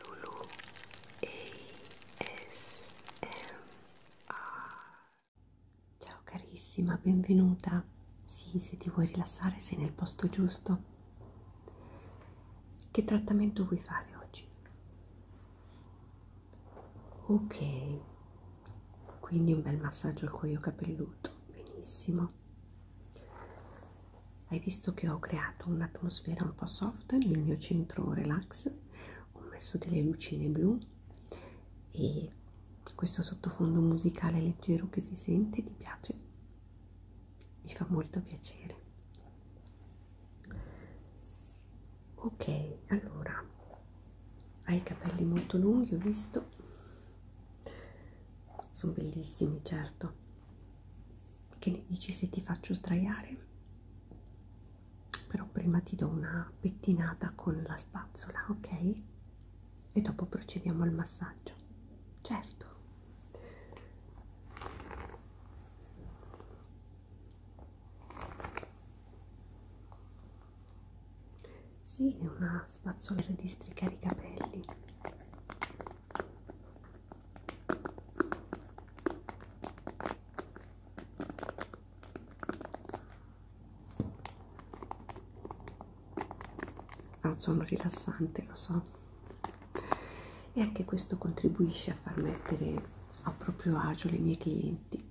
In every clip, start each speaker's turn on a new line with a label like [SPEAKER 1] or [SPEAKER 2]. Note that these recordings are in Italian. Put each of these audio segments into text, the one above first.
[SPEAKER 1] Lulu ASMR Ciao carissima, benvenuta. Sì, se ti vuoi rilassare sei nel posto giusto. Che trattamento vuoi fare oggi? Ok, quindi un bel massaggio al cuoio capelluto, benissimo hai visto che ho creato un'atmosfera un po' soft nel mio centro relax ho messo delle lucine blu e questo sottofondo musicale leggero che si sente ti piace mi fa molto piacere ok allora hai i capelli molto lunghi ho visto sono bellissimi certo che ne dici se ti faccio sdraiare? Però prima ti do una pettinata con la spazzola, ok? E dopo procediamo al massaggio. Certo. Sì, è una spazzola per districare i capelli ha un sonno rilassante lo so e anche questo contribuisce a far mettere a proprio agio le mie clienti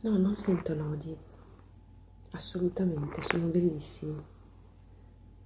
[SPEAKER 1] No, non sento nodi, assolutamente, sono bellissimi.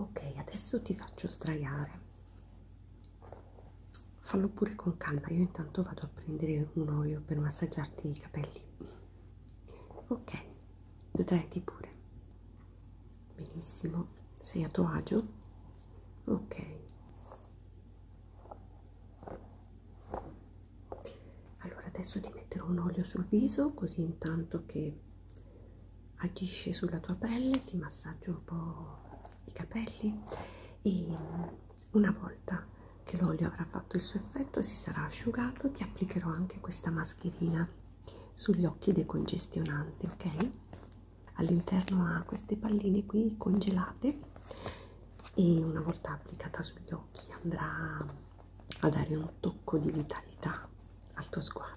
[SPEAKER 1] Ok, adesso ti faccio sdraiare fallo pure con calma io intanto vado a prendere un olio per massaggiarti i capelli ok detraiti pure benissimo sei a tuo agio ok allora adesso ti metterò un olio sul viso così intanto che agisce sulla tua pelle ti massaggio un po' i capelli e una volta che l'olio avrà fatto il suo effetto si sarà asciugato ti applicherò anche questa mascherina sugli occhi decongestionanti ok all'interno ha queste palline qui congelate e una volta applicata sugli occhi andrà a dare un tocco di vitalità al tuo sguardo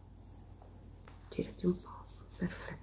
[SPEAKER 1] girati un po' perfetto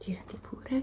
[SPEAKER 1] Girati pure.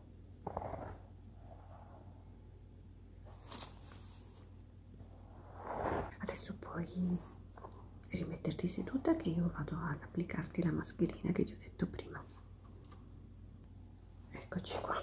[SPEAKER 1] Adesso puoi rimetterti seduta che io vado ad applicarti la mascherina che ti ho detto prima. Eccoci qua.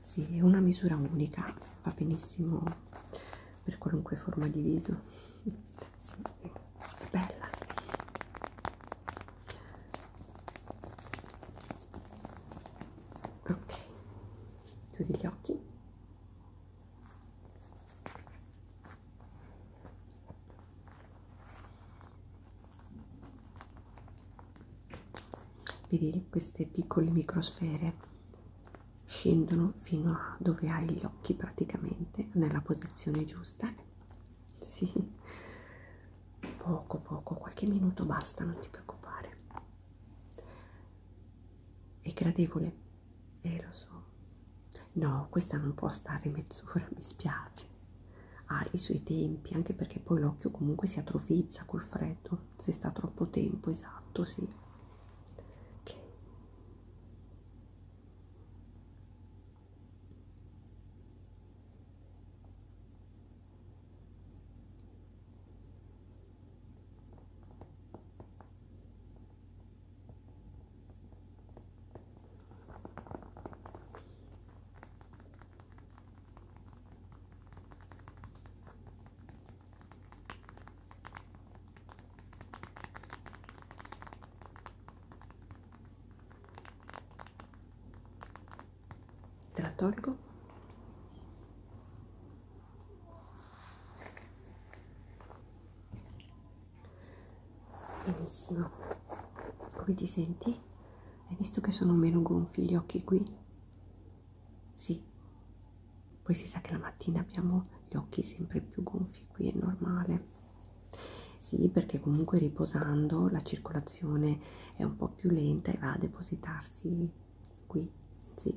[SPEAKER 1] Sì, è una misura unica, va benissimo per qualunque forma di viso. Sì, è bella. Ok, chiudi gli occhi. Vedi queste piccole microsfere scendono fino a dove hai gli occhi praticamente nella posizione giusta sì poco poco qualche minuto basta non ti preoccupare è gradevole eh lo so no questa non può stare mezz'ora mi spiace ha i suoi tempi, anche perché poi l'occhio comunque si atrofizza col freddo, se sta troppo tempo, esatto, sì. Okay te la tolgo benissimo come ti senti? hai visto che sono meno gonfi gli occhi qui? sì poi si sa che la mattina abbiamo gli occhi sempre più gonfi qui è normale sì perché comunque riposando la circolazione è un po' più lenta e va a depositarsi qui sì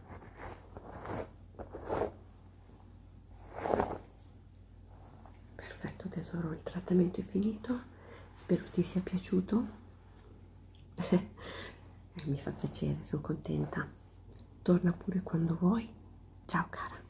[SPEAKER 1] perfetto tesoro il trattamento è finito spero ti sia piaciuto eh, mi fa piacere sono contenta torna pure quando vuoi ciao cara